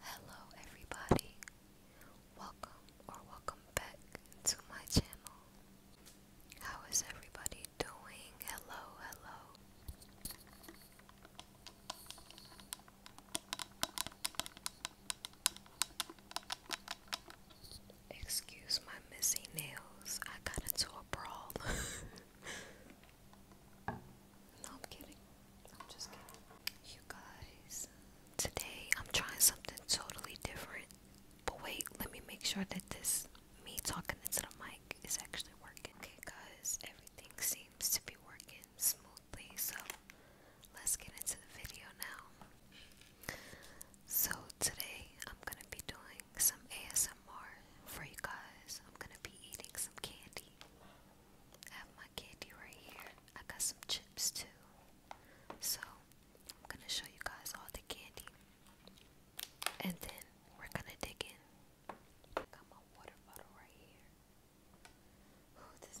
Hello everybody. Welcome or welcome back to my channel. How is everybody doing? Hello, hello. Excuse my missing nails. I got into a brawl. No, I'm kidding. I'm just kidding. You guys, today I'm trying something totally different. But wait, let me make sure that this, me talking into the mic, is actually working. Okay, guys, everything seems to be working smoothly. So let's get into the video now. So today I'm gonna be doing some ASMR for you guys. I'm gonna be eating some candy. I have my candy right here. I got some chips too. So I'm gonna show you guys all the candy. And then we're gonna dig in. Got my water bottle right here. Oh, this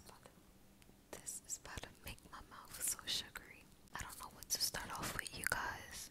is about to make my mouth so sugary. I don't know what to start off with, you guys.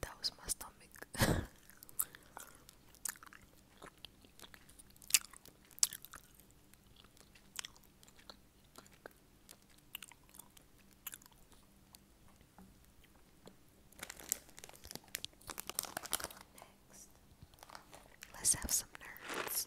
That was my stomach. let's have some nerds.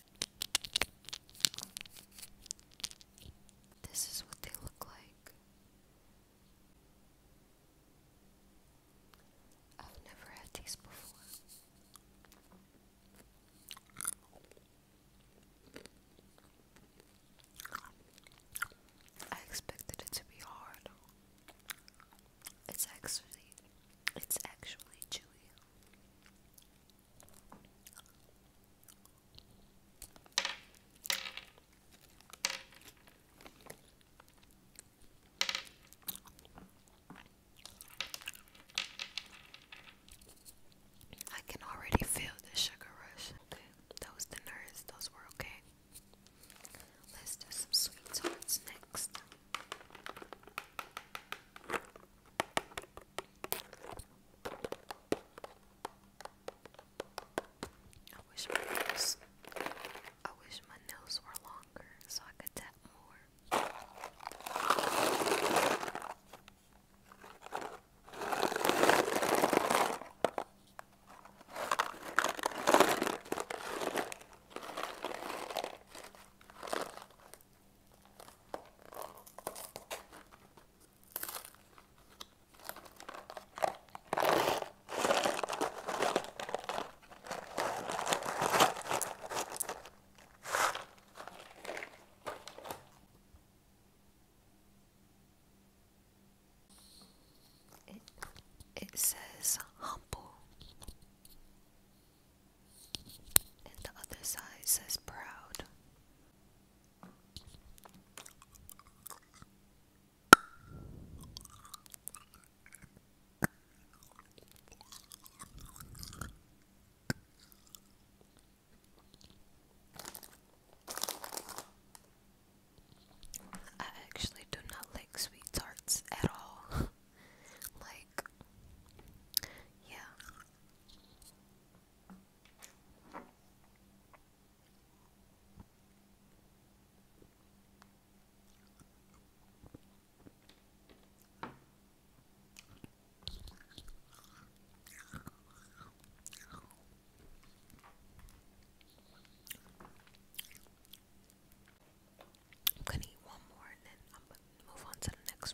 This is what they look like. I've never had these before. I expected it to be hard. It's actually it's actually chewy. I can already feel the sugar rush. Okay, those dinners, those were okay. Let's do some sweet tarts next. I wish my nails were longer so I could tap more. It, says humble and the other side says proud. I actually do not like sweet tarts at all. like, yeah, I'm gonna eat one more and then I'm gonna move on to the next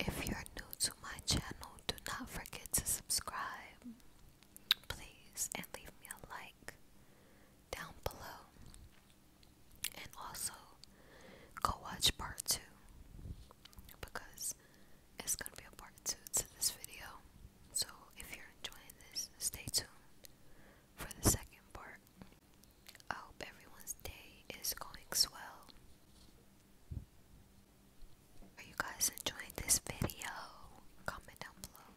If you're new to my channel, do not forget to subscribe, please, and leave me a like down below. And also, go watch part two because it's gonna be a part two to this video. So, if you're enjoying this, stay tuned for the second part. I hope everyone's day is going swell. Are you guys enjoying this video? Comment down below.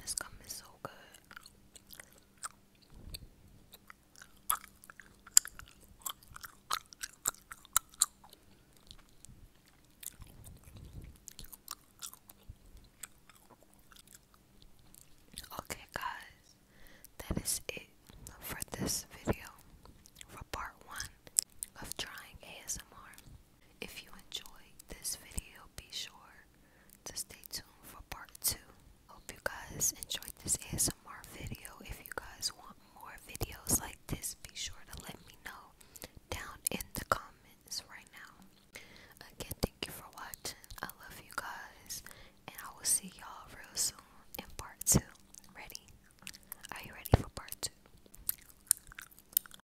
This gum is so good. Okay, guys, that is it for this video for part one of trying ASMR. If you enjoyed this video, be sure to stay tuned for part 2. Hope you guys enjoyed this ASMR video. If you guys want more videos like this, be sure to let me know down in the comments right now. Again, thank you for watching. I love you guys, and I will see y'all real soon in part 2. Ready? Are you ready for part 2?